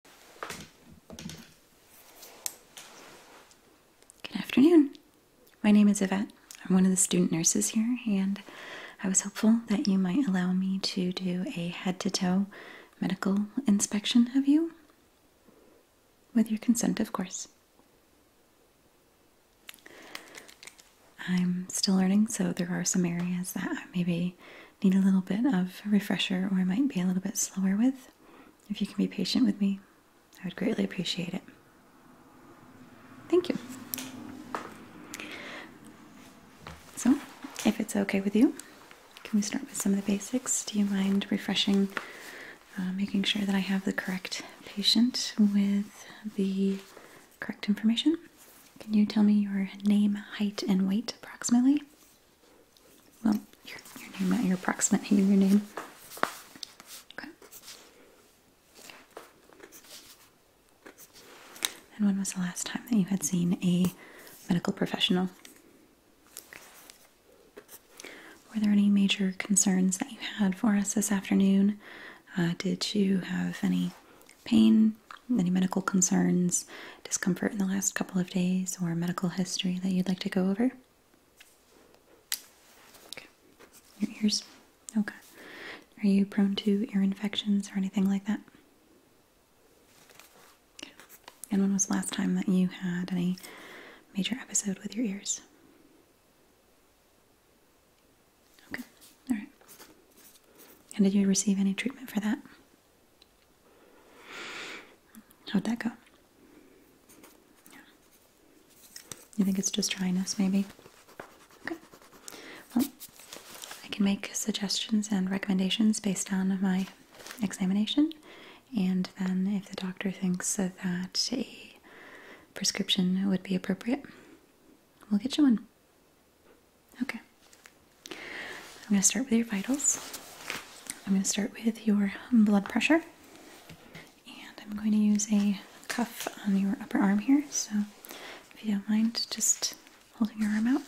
Good afternoon. My name is Yvette. I'm one of the student nurses here, and I was hopeful that you might allow me to do a head to toe medical inspection of you. With your consent, of course. I'm still learning, so there are some areas that I maybe need a little bit of a refresher or I might be a little bit slower with. If you can be patient with me, I would greatly appreciate it. Thank you. So, if it's okay with you, can we start with some of the basics? Do you mind refreshing, uh, making sure that I have the correct patient with the correct information? Can you tell me your name, height, and weight approximately? Well, your, name, not your approximate name, your name. Okay. And when was the last time that you had seen a medical professional? Were there any major concerns that you had for us this afternoon? Uh, did you have any pain, any medical concerns? discomfort in the last couple of days or medical history that you'd like to go over? Your ears? Okay. Are you prone to ear infections or anything like that? And when was the last time that you had any major episode with your ears? Okay, all right. And did you receive any treatment for that? How'd that go? You think it's just dryness, maybe? Okay. Well, I can make suggestions and recommendations based on my examination, and then if the doctor thinks that a prescription would be appropriate, we'll get you one. Okay. I'm going to start with your vitals. I'm going to start with your blood pressure. And I'm going to use a cuff on your upper arm here. So if you don't mind just holding your arm out.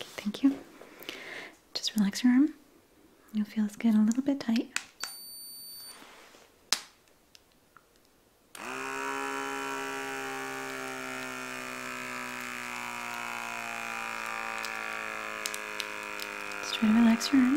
Okay, thank you. Just relax your arm. You'll feel this get a little bit tight. Just try to relax your arm.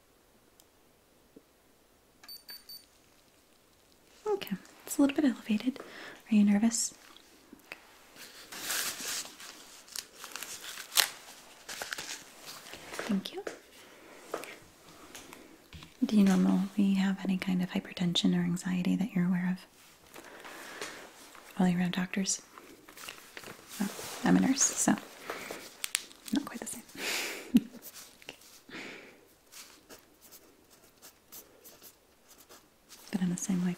Okay, it's a little bit elevated. Are you nervous? Thank you. Do you normally have any kind of hypertension or anxiety that you're aware of? All around doctors? Oh, I'm a nurse, so not quite the same. But in the same way,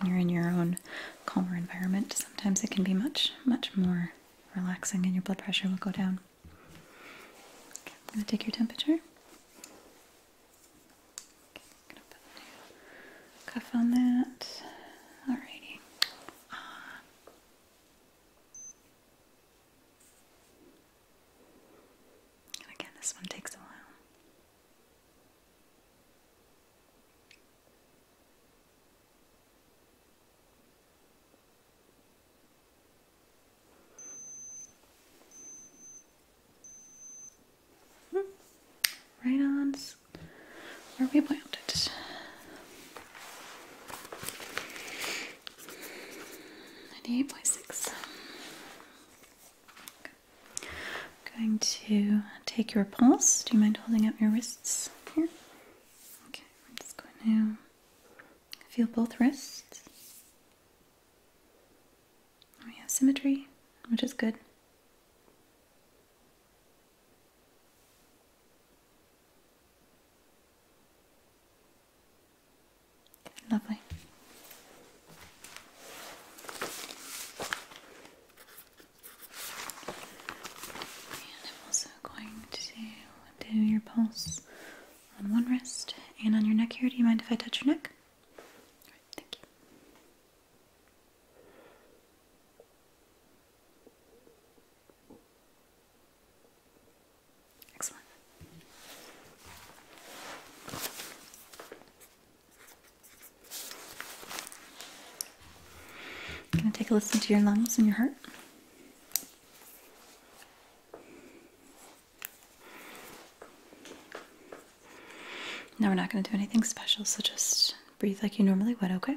when you're in your own calmer environment, sometimes it can be much, much more relaxing and your blood pressure will go down. I'm going to take your temperature cuff on that. Alrighty. Uh, again, this one takes a while. Hmm. Right on where we landed. Ninety-eight point six. I'm going to take your pulse. Do you mind holding up your wrists here? Okay, I'm just going to feel both wrists. We have symmetry, which is good. Lovely. And I'm also going to do your pulse on one wrist and on your neck here. Do you mind if I touch your neck? All right, thank you. Excellent. i going to take a listen to your lungs and your heart. Now we're not going to do anything special, so just breathe like you normally would, okay?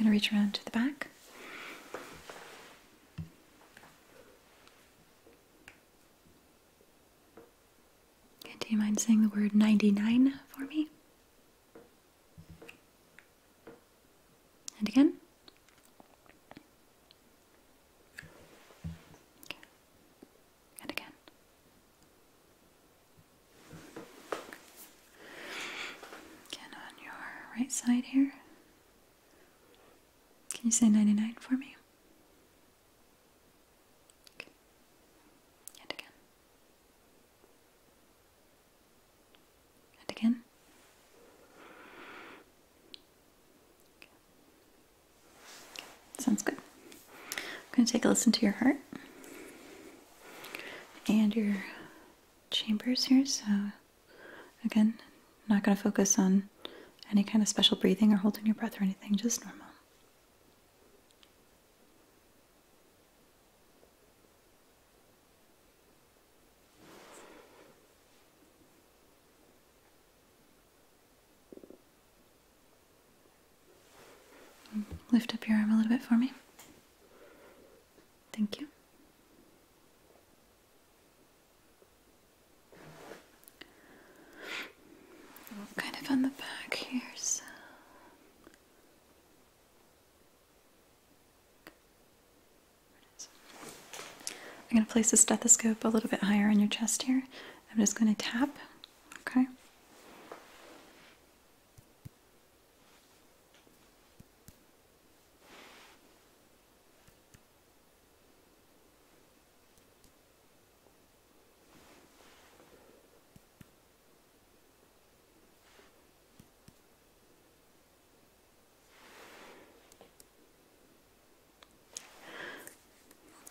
I'm going to reach around to the back. do you mind saying the word 99 for me? And again. And again. Again on your right side here. Can you say 99 for me? Okay. And again. And again. Sounds good. I'm going to take a listen to your heart and your chambers here. So, again, not going to focus on any kind of special breathing or holding your breath or anything, just normal. Lift up your arm a little bit for me. Thank you. Kind of on the back here, so I'm going to place the stethoscope a little bit higher on your chest here. I'm just going to tap, okay?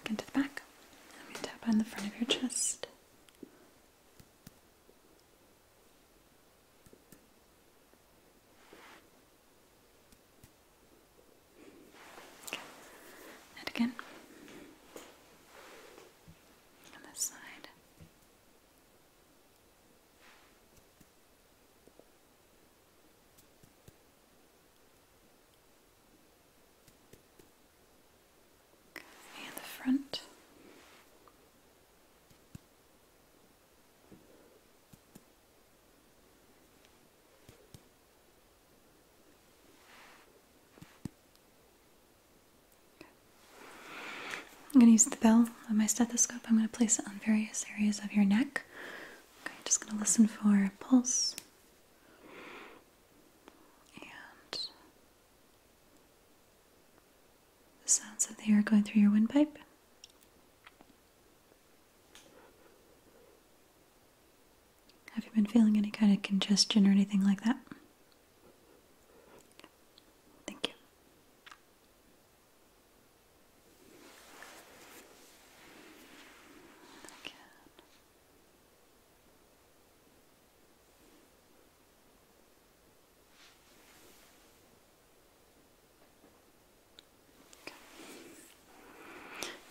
Get the back. I'm tap on the front of your chest. And again. On this side. Near the front. I'm going to use the bell on my stethoscope, I'm going to place it on various areas of your neck. Okay, just going to listen for pulse and the sounds of the air going through your windpipe. Have you been feeling any kind of congestion or anything like that? Thank you.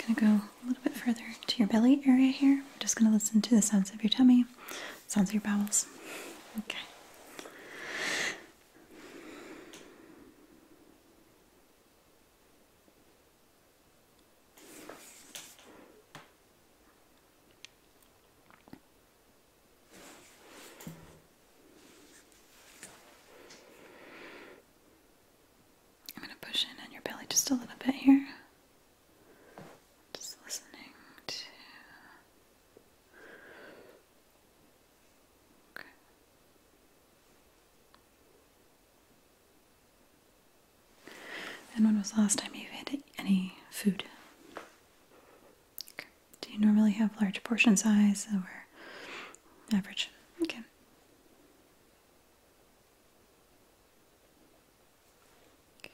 I'm gonna go a little bit further to your belly area here. I'm just gonna listen to the sounds of your tummy, sounds of your bowels. Okay. I'm going to push in on your belly just a little bit here. Just listening to and when was the last time you ate any food? Do you normally have large portion size or average? Okay. okay.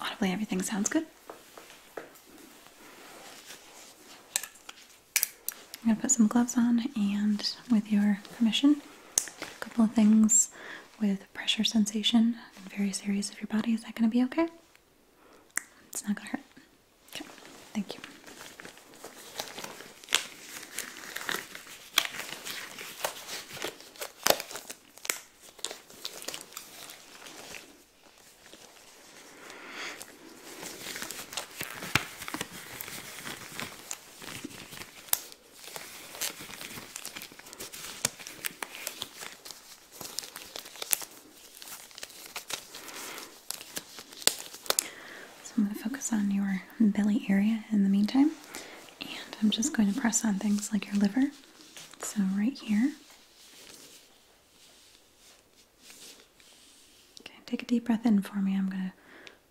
Audibly, everything sounds good. I'm going to put some gloves on, and with your permission, a couple of things with pressure sensation in various areas of your body. Is that going to be okay? It's not going to hurt. Okay, thank you. So I'm going to focus on your belly area in the meantime, and I'm just going to press on things like your liver so, right here. Okay, take a deep breath in for me. I'm going to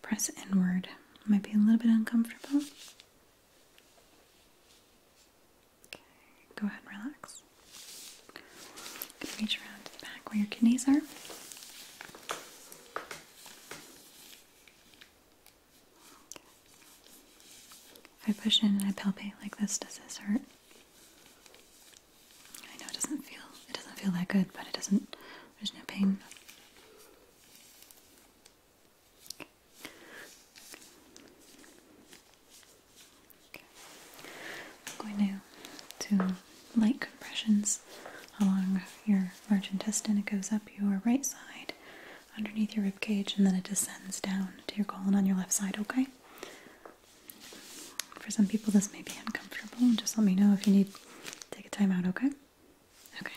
press inward. Might be a little bit uncomfortable. Okay, go ahead and relax. reach around to the back where your kidneys are. If I push in and I palpate like this, does this hurt? I know it doesn't feel it doesn't feel that good, but it doesn't there's no pain. I'm going to do light compressions along your large intestine. It goes up your right side underneath your rib cage, and then it descends down to your colon on your left side, okay? For some people, this may be uncomfortable. Just let me know if you need take a time out, okay? Okay.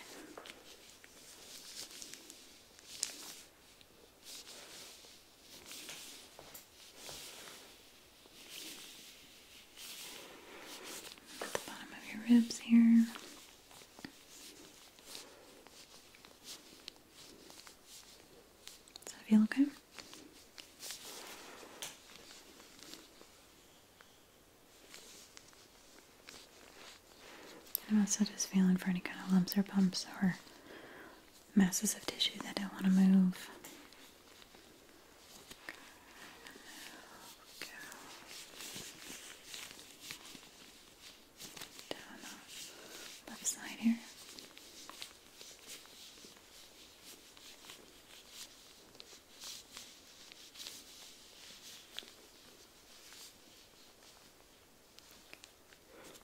At the bottom of your ribs here. Does that feel okay? I'm also just feeling for any kind of lumps or bumps or masses of tissue that don't want to move down the left side here. Is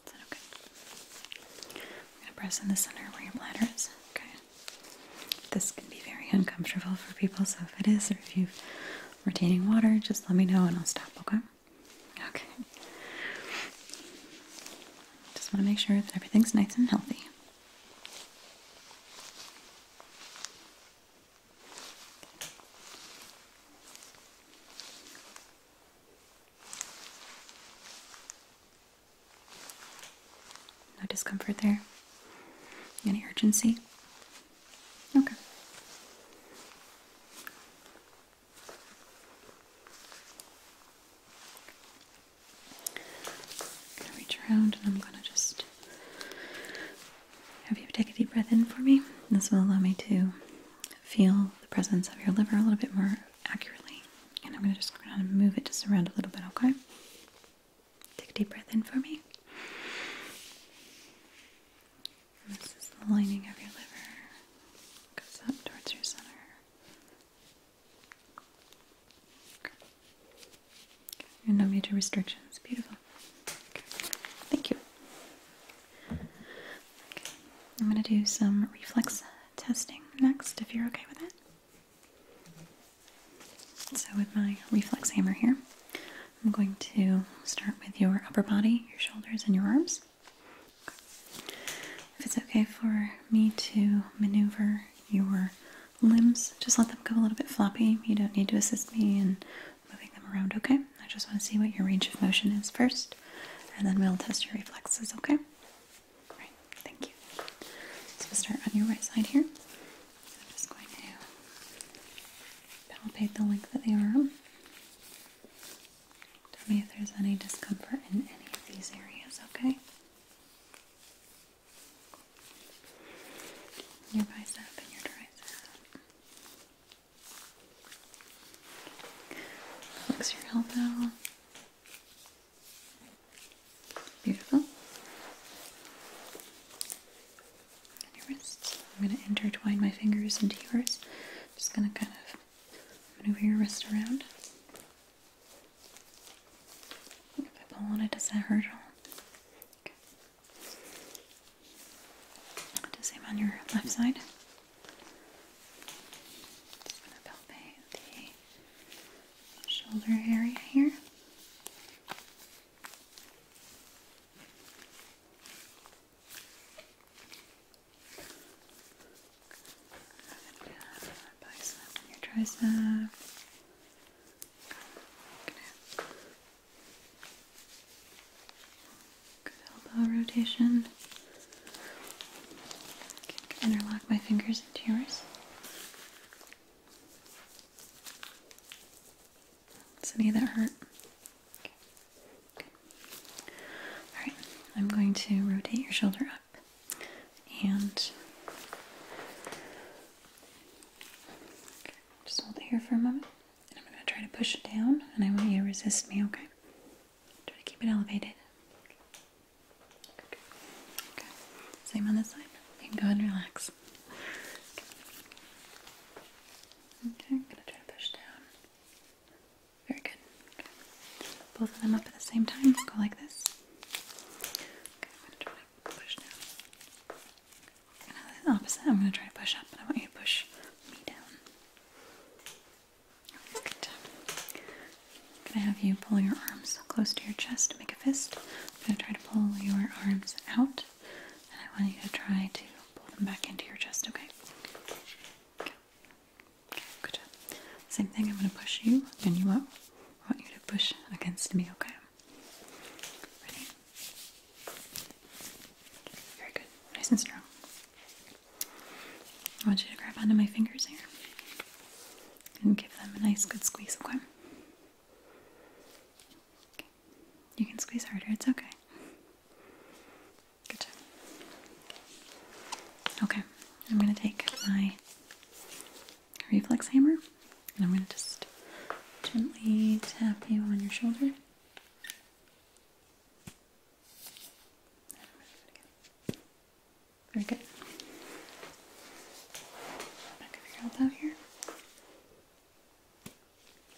that okay? I'm gonna press in the center where your bladder is. Okay. This can be very uncomfortable for people, so if it is, or if you are retaining water, just let me know and I'll stop, okay? Okay. Just want to make sure that everything's nice and healthy. No discomfort there? Any urgency? Okay. I'm gonna reach around and I'm gonna just have you take a deep breath in for me. This will allow me to feel the presence of your liver a little bit more accurately. And I'm gonna just kind of move it just around a little bit, okay? Take a deep breath in for me. This is the lining of your liver. Goes up towards your center. And no major restrictions. Beautiful. Thank you. I'm going to do some reflex testing next, if you're okay with that. So, with my reflex hammer here, I'm going to start with your upper body, your shoulders, and your arms. If it's okay for me to maneuver your limbs, just let them go a little bit floppy. You don't need to assist me in moving them around, okay? I just want to see what your range of motion is first, and then we'll test your reflexes, okay? All right, thank you. So we'll start on your right side here. I'm just going to palpate the length of the arm. Tell me if there's any discomfort in any of these areas, okay? Your bicep and your tricep. your elbow. Beautiful. your wrists. I'm going to intertwine my fingers into yours. Just going to kind of Maneuver your wrist around. If I pull on it, does that hurt at all? same on your left side. Just gonna palpate the shoulder area here. I'm your tricep. I'm good elbow rotation. I can interlock my fingers into yours. Does any of that hurt? Alright, I'm going to rotate your shoulder up and just hold it here for a moment. And I'm going to try to push it down and I want you to resist me, okay? Try to keep it elevated. Okay. okay. Same on this side. You can go and relax. Okay, I'm gonna try to push down. Very good. Both of them up at the same time. Go like this. Okay, I'm going to try to push down. opposite, I'm going to try to push up, but I want you to push me down. Good. I'm going to have you pull your arms close to your chest make a fist. I'm going to try to pull your arms out, and I want you to try to pull them back into your chest, okay? Good. Same thing, I'm going to push you and you up. I want you to push against me, okay? Ready? Very good. Nice and strong. I want you to grab onto my fingers here and give them a nice good squeeze, okay? okay. You can squeeze harder, it's okay. Okay, I'm going to take my reflex hammer and I'm going to just gently tap you on your shoulder. Very good. Back of your elbow here.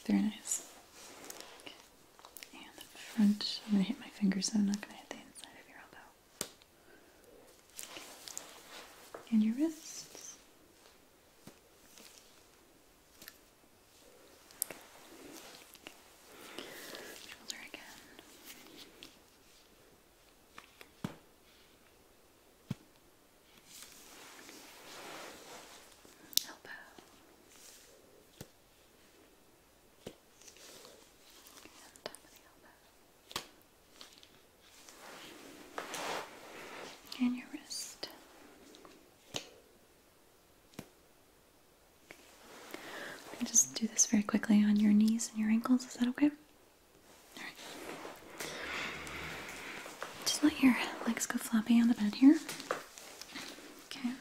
Very nice and the front. I'm going to hit my fingers, so I'm not going to hit the inside of your elbow. And your wrists. Shoulder again. Elbow. And your wrist. just do this very quickly on your knees and your ankles. Is that okay? Just let your legs go floppy on the bed here. Okay.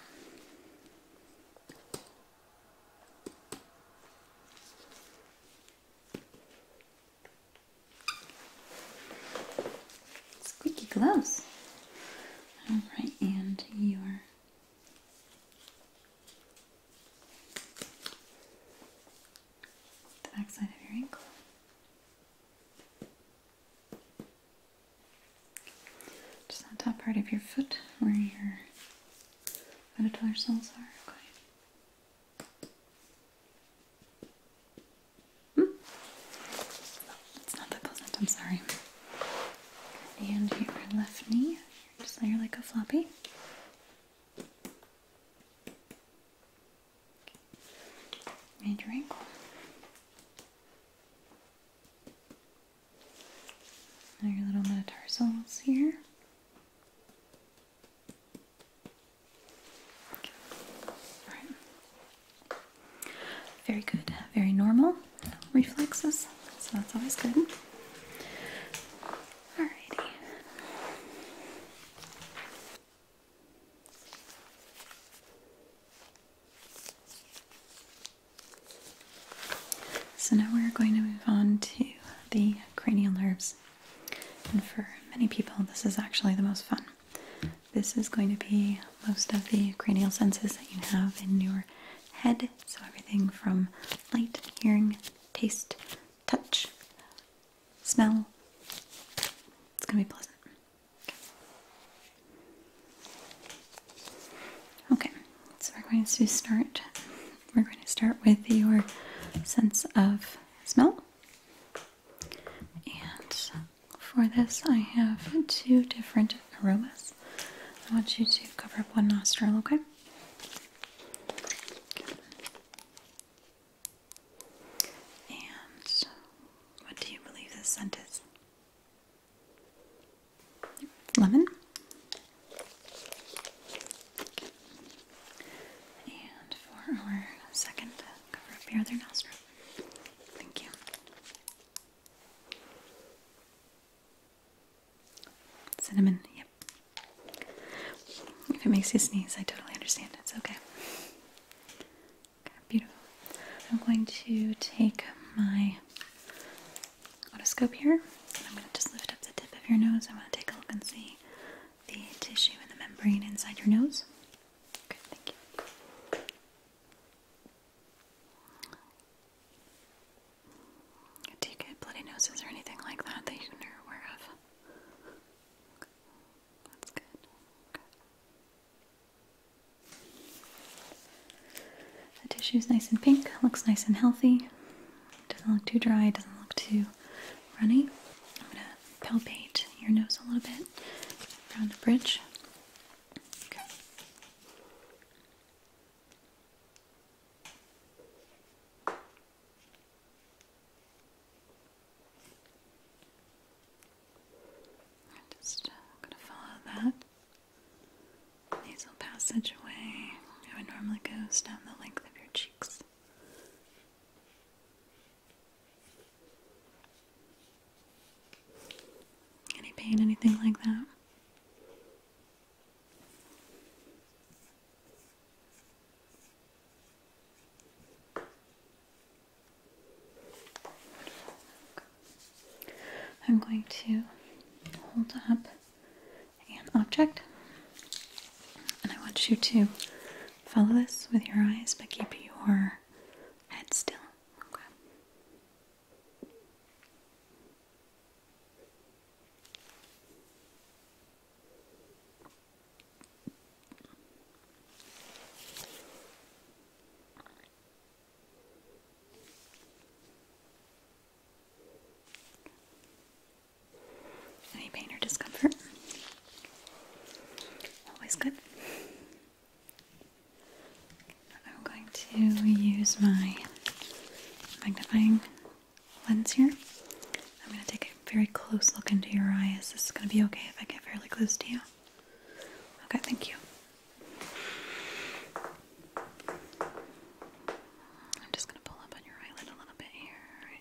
Squeaky gloves. All right, and your the back of your ankle. Just that top part of your foot where your cells are. Okay. Hmm. it's not that pleasant, I'm sorry. And your left knee, just layer like a floppy. And your ankle. Now your little metatarsals here. Very good. Very normal reflexes. So that's always good. Alrighty. So now we're going to move on to the cranial nerves. And for many people, this is actually the most fun. This is going to be most of the cranial senses that you have in your head. So everything from light, hearing, taste, touch, smell. It's going to be pleasant. Okay, so we're going to start. We're going to start with your sense of smell. And for this, I have two different aromas. I want you to cover up one nostril, okay? And what do you believe this scent is? lemon, and for our second, cover up your other nostril. Thank you. Cinnamon, yep. If it makes you sneeze, I totally understand. It's okay. Beautiful. I'm going to take my otoscope here. I'm going to just lift up the tip of your nose. I want to take a look and see the tissue and the membrane inside your nose. Okay, thank you. Do you get bloody noses or anything like that that you're aware of? That's good. The tissue is nice and pink, looks nice and healthy. Doesn't look too dry, doesn't look too runny. I'm gonna palpate your nose a little bit around the bridge. Okay. Just gonna follow that nasal passage How it normally goes down the length of your cheeks. Any pain, anything like that? I'm going to hold up an object and I want you to follow this with your eyes but keep your head still. Okay. Any pain or discomfort? Always good. I'm going to use my magnifying lens here. I'm going to take a very close look into your eyes. This Is going to be okay if I get fairly close to you? Okay, thank you. I'm just going to pull up on your eyelid a little bit here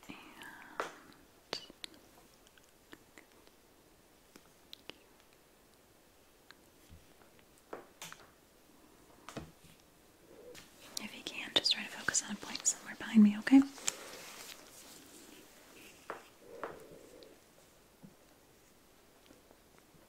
If you can, just try to focus on a point somewhere behind me, okay?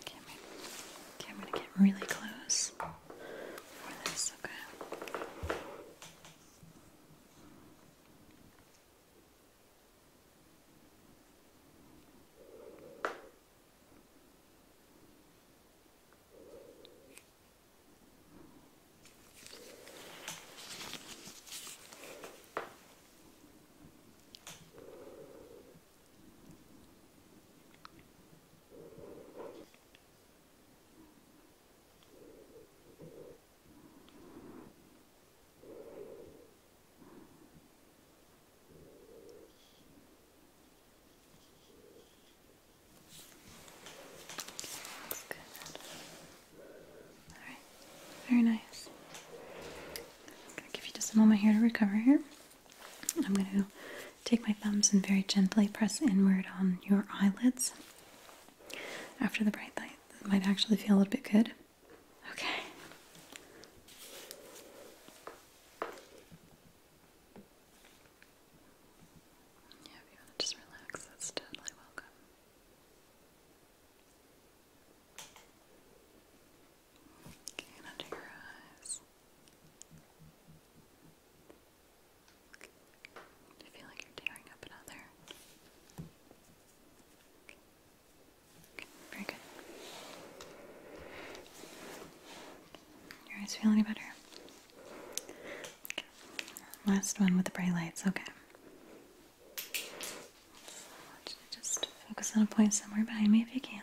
Okay, I'm gonna, okay, I'm gonna get really close for this, Okay, that's good. All right, very nice. give you just a moment here to recover here. I'm going to take my thumbs and very gently press inward on your eyelids after the bright light. That might actually feel a little bit good. Okay. Yeah, if you want to just relax, that's totally welcome under your eyes. Okay. you feel like you're tearing up another? very good. Your eyes feel any better? Last one with the bright lights, okay. just focus on a point somewhere behind me if you can.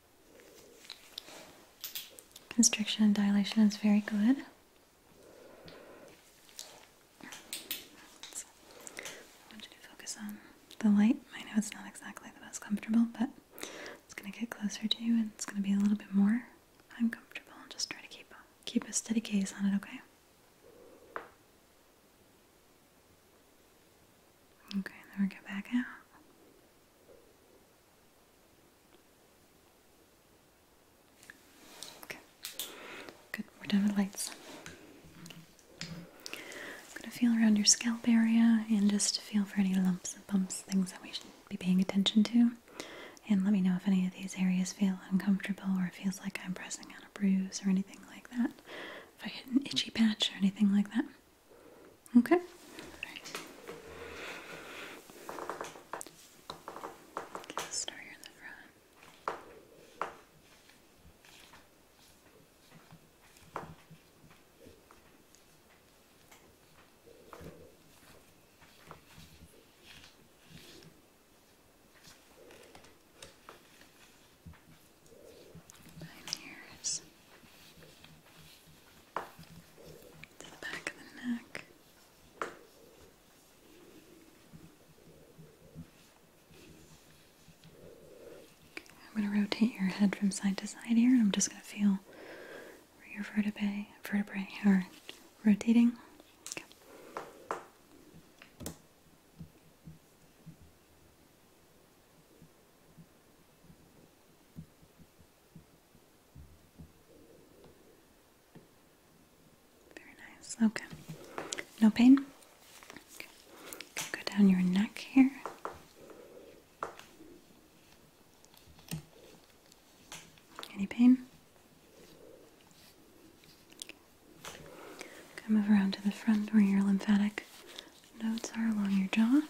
Constriction and dilation is very good. I want you to focus on the light. I know it's not exactly the most comfortable, but it's going to get closer to you and it's going to be a little bit more uncomfortable. Just try to keep keep a steady gaze on it, okay? Okay, then get back out. Okay. Good. We're done with lights. I'm going to feel around your scalp area and just feel for any lumps and bumps, things that we should be paying attention to. And let me know if any of these areas feel uncomfortable or feels like I'm pressing on a bruise or anything like that. If I hit an itchy patch or anything like that. Okay. start here in the front. Behind ears to the back of the neck. I'm going to rotate your head from side to side here, and I'm just going to feel where your vertebrae, vertebrae are rotating. Very nice. Okay. No pain? Go down your neck here. Any pain? Okay. Come move around to the front where your lymphatic nodes are along your jaw.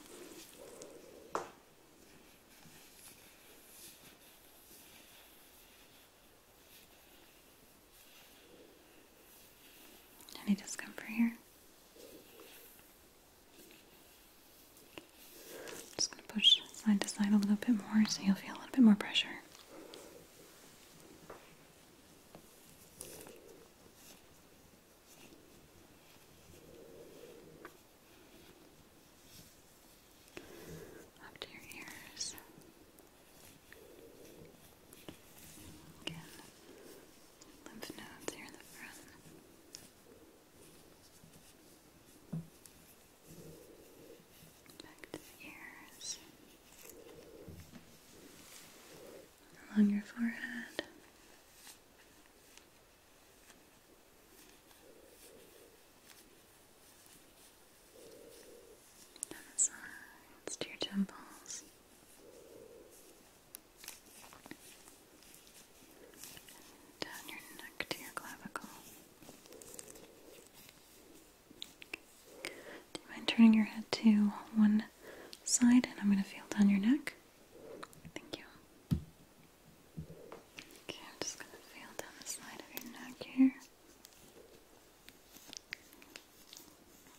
Any discomfort here? just going to push side to side a little bit more so you'll feel a little bit more pressure up to your ears. Again, lymph nodes here in the front. Back to the ears. Along your forehead. Down the sides to your temples. Down your neck to your clavicle. Do you mind turning your head to one side and I'm going to feel down your neck? Thank you. Okay, I'm just going to feel down the side of your neck here.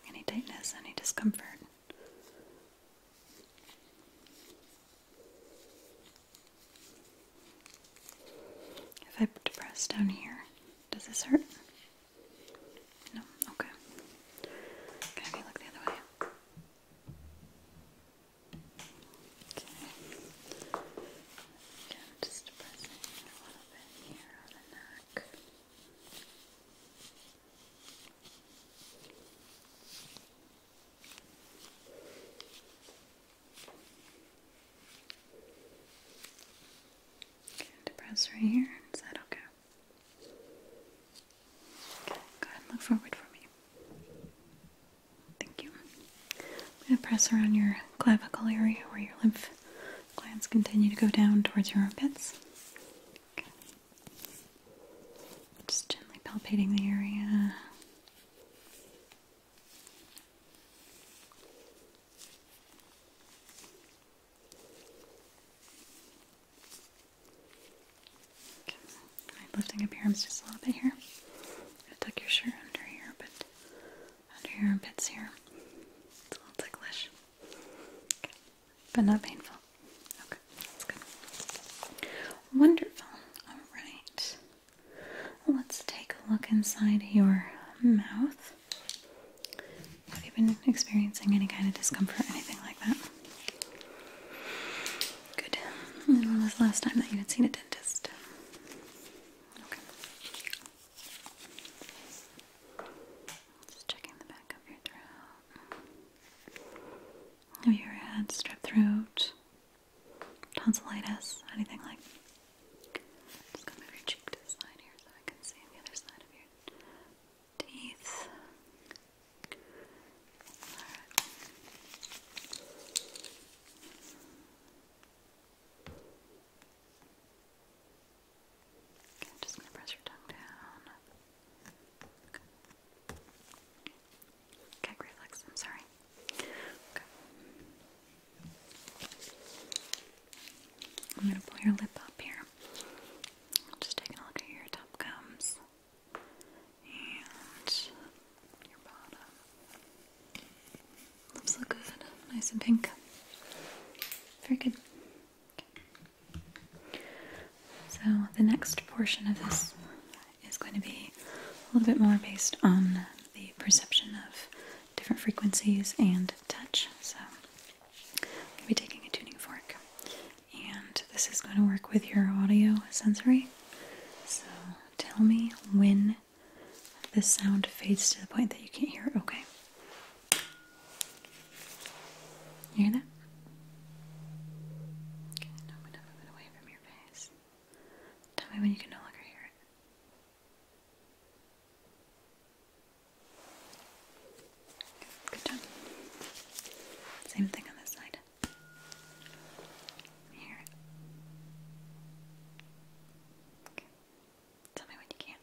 Any tightness, any discomfort? If I press down here, does this hurt? No, okay. Can I look the other way? Okay. Okay, just pressing a little bit here on the neck. Good press right here. Is that okay? Okay, go look forward for me. Thank you. I'm going to press around your clavicle area where your lymph glands continue to go down towards your armpits. Okay. Just gently palpating the area. I'm lifting up your arms just a little bit here. I tuck your shirt under here, but under your armpits here. It's a little ticklish. But not painful. Okay, that's good. Wonderful. Alright. Let's take a look inside your mouth. Have you been experiencing any kind of discomfort, anything like that? Good. When was the last time that you had seen a dentist? Have you ever had strep throat, tonsillitis, anything like Just gonna your cheek to the side here so I can see the other side of your teeth. I'm just gonna press your tongue down. Okay. Gag reflex, I'm sorry. Okay. I'm gonna pull your lip up here. just taking a look at your top gums and Lips look good, nice and pink. Very good. So the next portion of this is going to be a little bit more based on the perception of different frequencies and touch. So i will be taking a tuning fork, and this is going to work with your audio sensory. So tell me when the sound fades to the point that you can't hear it. Okay. hear that? Okay, now I'm it away from your face. Tell me when you can no longer hear it. Good job. Same thing on this side. Here. Okay. Tell me when you can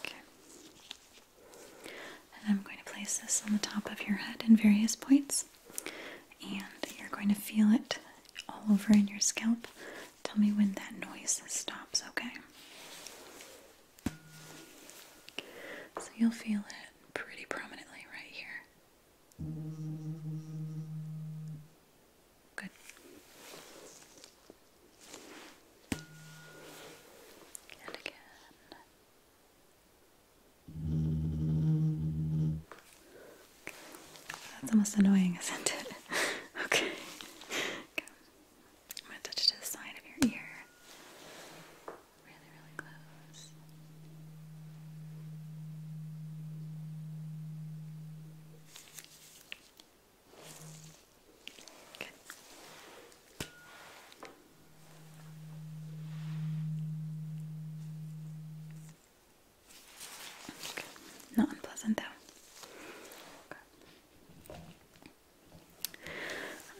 Okay. And I'm going to place this on the top of your head in various points. And you're going to feel it all over in your scalp. Tell me when that noise stops, okay? So you'll feel it pretty prominently right here. Good. And again. That's almost annoying, isn't it? okay. I'm going to touch it to the side of your ear. Really, really close. Good. Not unpleasant though.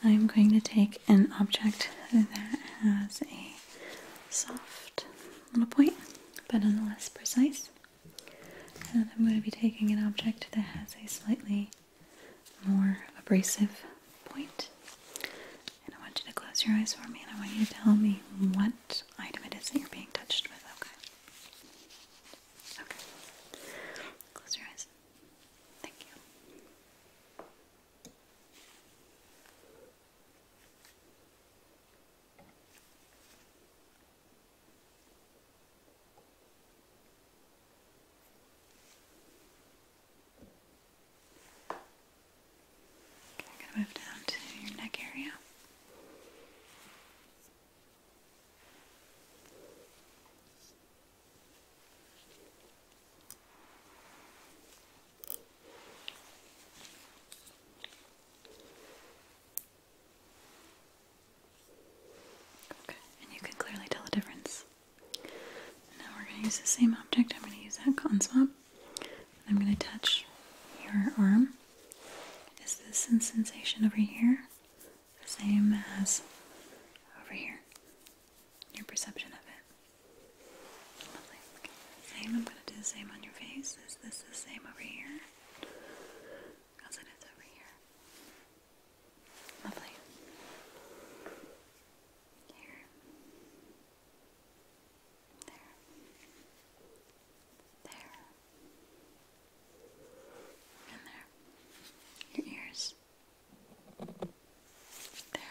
I'm going to take an object that has a soft little point, but nonetheless precise. And I'm going to be taking an object that has a slightly more abrasive point. And I want you to close your eyes for me and I want you to tell me what item it is that you're being touched with, okay? Okay. Close your eyes. Thank you. I'm going to move down to your neck area. Okay, and you can clearly tell the difference. Now we're going to use the same object. I'm going to use that cotton swab. I'm going to touch your arm. Is this sensation over here? same as over here. Your perception of it. Lovely. Same. I'm going to do the same on your face. Is this the same over here? Because it is over here. Lovely. Here. There. There. And there. Your ears. There.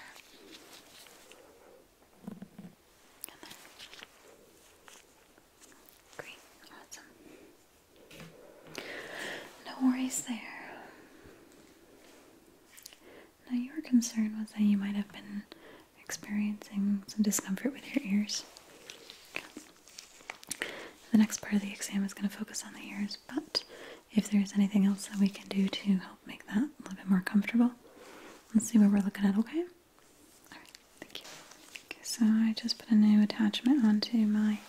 And awesome. No worries there. Now, your concern was that you might have been experiencing some discomfort with your ears. The next part of the exam is going to focus on the ears, but if there's anything else that we can do to help make that a little bit more comfortable. Let's see what we're looking at, okay? Alright, thank you. so I just put a new attachment onto my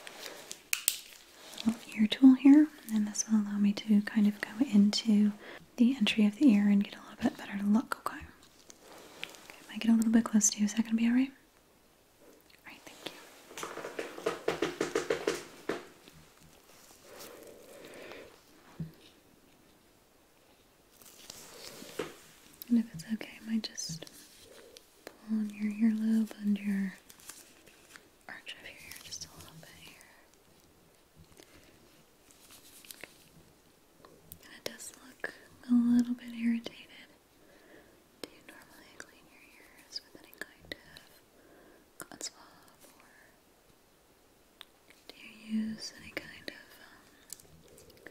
ear tool here, and this will allow me to kind of go into the entry of the ear and get a little bit better look, okay? okay I get a little bit close to you, is that going to be alright? And if it's okay, I might just pull on your earlobe and your arch of your ear just a little bit here. Okay. It does look a little bit irritated. Do you normally clean your ears with any kind of cotton or do you use any kind of um,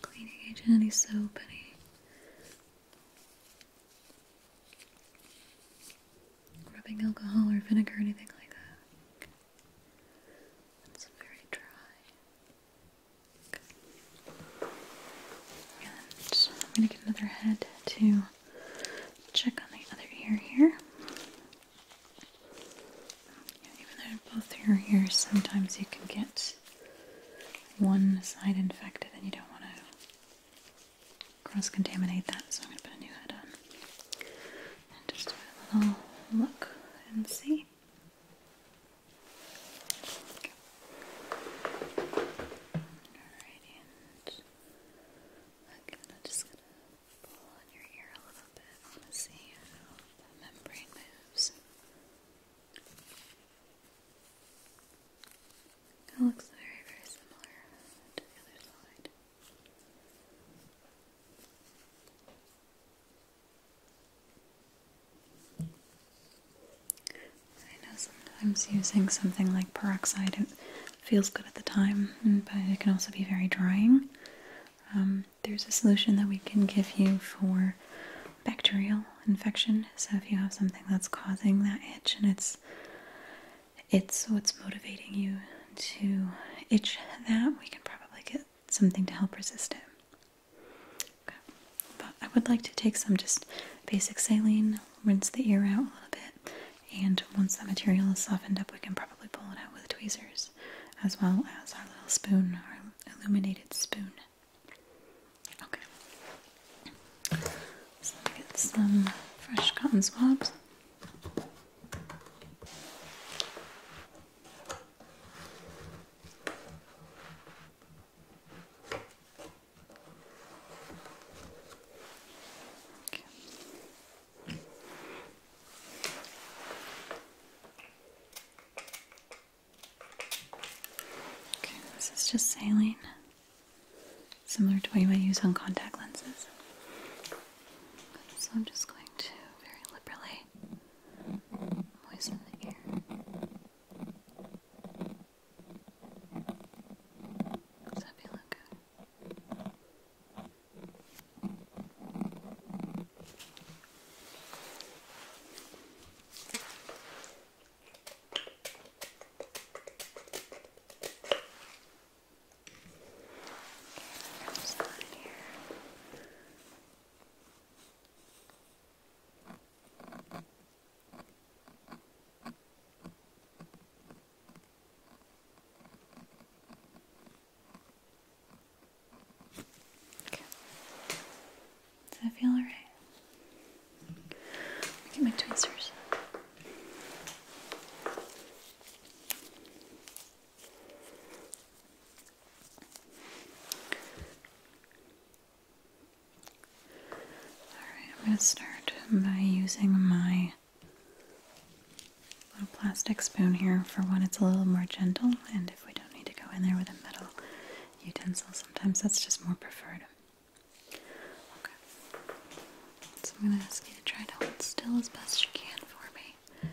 cleaning agent, any soap, any rubbing alcohol or vinegar, anything like that? It's very dry. I'm going to get another head to check on the other ear here. even though both your ears, sometimes you can get one side infected and you don't want to cross contaminate that, so I'm going to put a new head on. And just do a little look and see. Okay. Alrighty much. Again, I'm just going to pull on your ear a little bit. I see how the membrane moves. It looks very, very similar to the other side. I know sometimes using something like peroxide it feels good at the time, mm, but it can also be very drying. Um, there's a solution that we can give you for bacterial infection. So if you have something that's causing that itch and it's it's what's motivating you to itch that, we can probably get something to help resist it. But I would like to take some just basic saline, rinse the ear out a little bit, and once that material is softened up, we can probably pull it out with tweezers as well as our little spoon, our illuminated spoon. Okay, so let me get some fresh cotton swabs. Okay. this is just saline, similar to what you might use on contact lenses. So I'm just going to very liberally moisten the ear. Does that feel okay? Just okay, on here. Okay. Okay. Does that feel alright? Get my tweezers. Alright, I'm going to start by using my little plastic spoon here for one, it's a little more gentle, and if we don't need to go in there with a metal utensil, sometimes that's just more preferred. Okay. So I'm going to ask you to try to hold still as best you can for me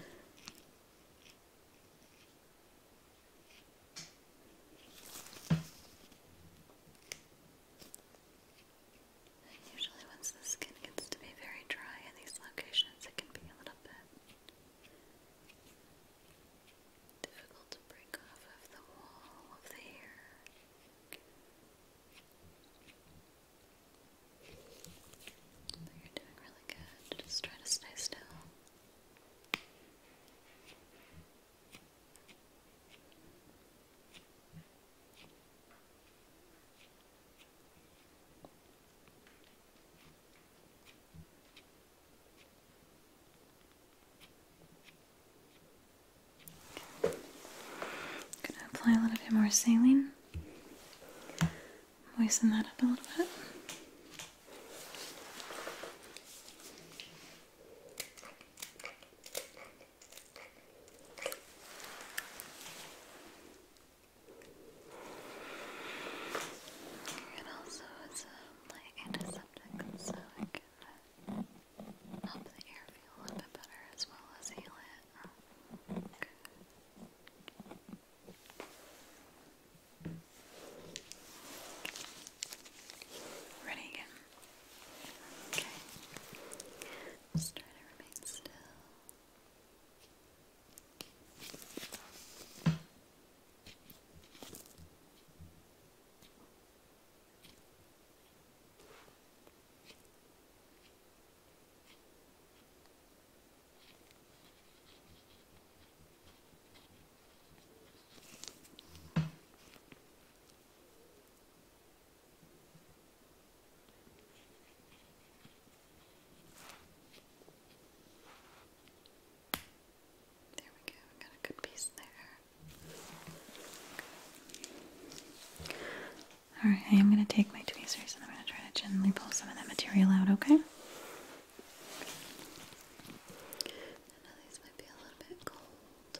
usually once the skin gets to be very dry in these locations, it can be a little bit difficult to break off of the wall of the ear. But you're doing really good. Just try to stay still going to apply a little bit more saline, moisten that up a little bit. It also is a um, like antiseptic, so it can uh, help the air feel a little bit better as well as heal it. Ready again? Okay. Just try to remain still. There we go, got a good piece there. Alright, I am going to take my tweezers and I'm going to try to gently pull some of that material out, okay? I might be a little bit cold.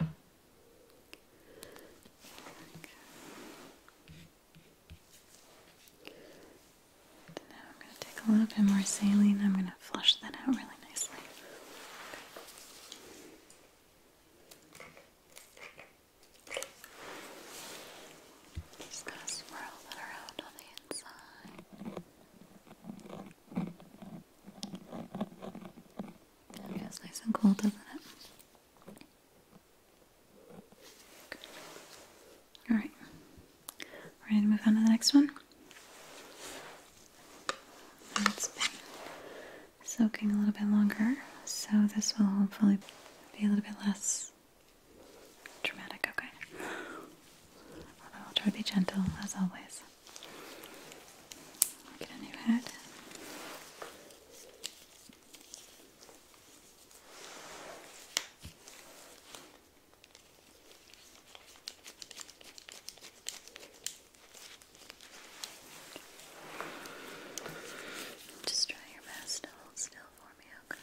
Now I'm going to take a little bit more saline. I'm going to flush that out really nicely. Just going to swirl that around on the inside. Yeah, it's nice and cool, doesn't it? Alright. Ready to move on to the next one? soaking a little bit longer, so this will hopefully be a little bit less dramatic, okay? Although I'll try to be gentle as always. Get a new head. Just try your best to hold still for me, okay?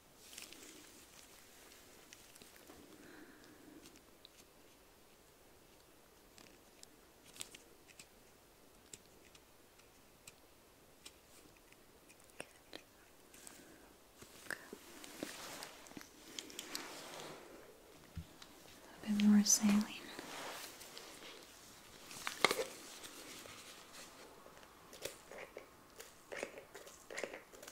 A bit more saline.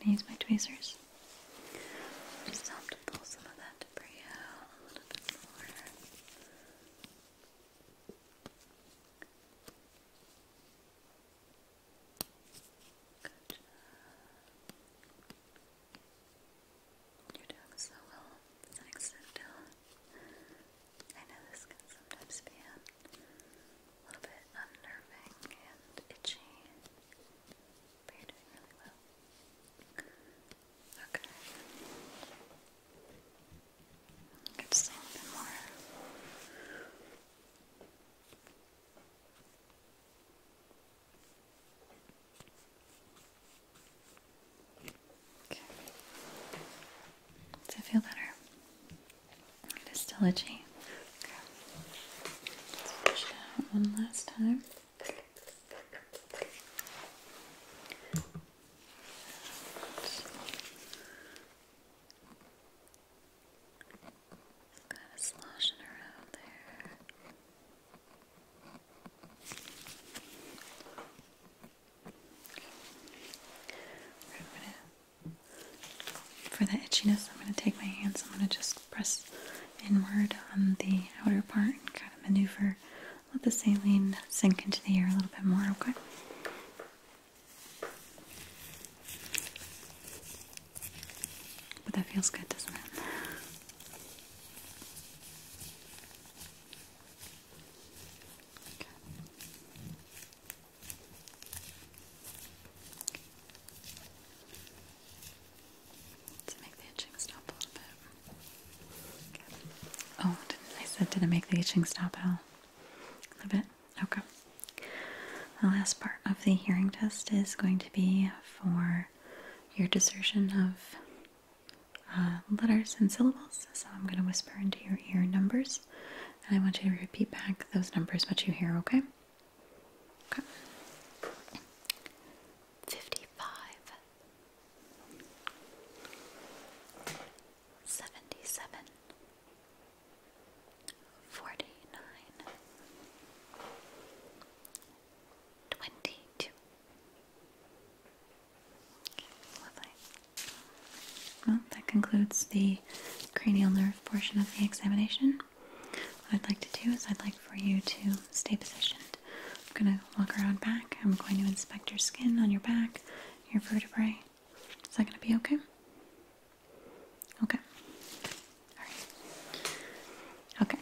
I'm gonna use my tweezers. Just help pull some of that debris out a little bit more. Good You're doing so well. It's an excellent I know this can sometimes be a little bit unnerving and itchy, but you're doing really well. Okay. just a little bit more. Okay. Does it feel better? It is one last time. Kind of sloshing around there. for the itchiness, I'm going to take my hands, I'm going to just press inward on the outer part and kind of maneuver let the saline sink into the air a little bit more, okay? But that feels good, doesn't it? Okay. To make the itching stop a little bit. Oh, I said did it make the itching stop at all. A little bit. Okay. The last part of the hearing test is going to be for your dissertion of uh, letters and syllables. So I'm going to whisper into your ear numbers, and I want you to repeat back those numbers what you hear. Okay. Okay. Fifty-five seventy-seven, forty-nine, twenty-two. Okay, Well, that concludes the cranial nerve portion of the examination. What I'd like to do is I'd like for you to stay positioned. I'm going to walk around back. I'm going to inspect your skin on your back your vertebrae. Is that going to be okay? Okay. All right. Okay.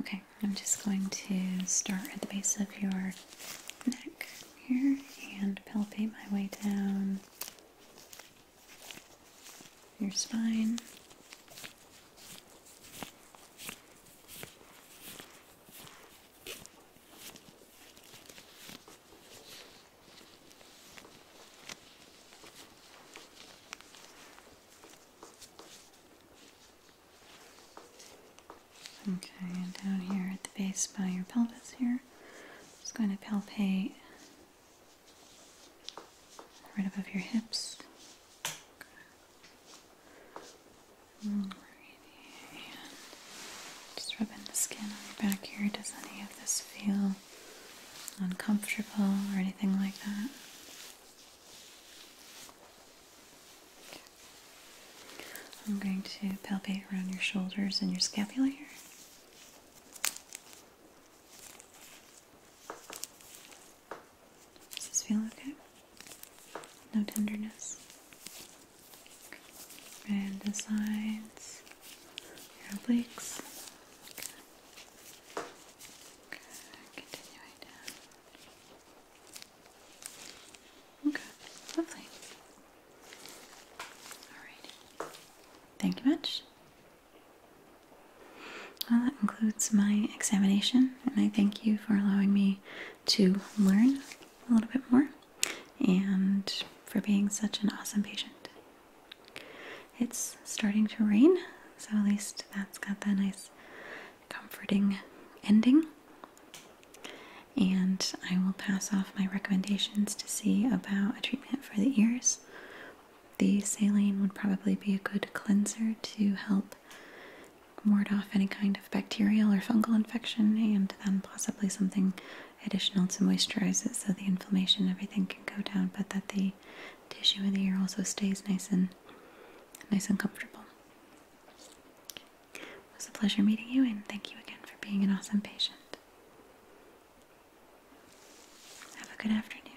Okay, I'm just going to start at the base of your neck here and palpate my way down your spine. Okay, and down here at the base by your pelvis here, just going to palpate right above your hips just rubbing the skin on your back here. Does any of this feel uncomfortable or anything like that? I'm going to palpate around your shoulders and your scapula here. Does this feel okay? No tenderness? And the sides, your obliques. Okay. Continuing down. Okay. Lovely. Alright. Thank you much. Well, that concludes my examination, and I thank you for allowing me to learn a little bit more and for being such an awesome patient. It's starting to rain, so at least that's got that nice comforting ending. And I will pass off my recommendations to see about a treatment for the ears. The saline would probably be a good cleanser to help ward off any kind of bacterial or fungal infection and then possibly something additional to moisturize it so the inflammation and everything can go down but that the tissue in the ear also stays nice and nice and comfortable. It was a pleasure meeting you and thank you again for being an awesome patient. Have a good afternoon.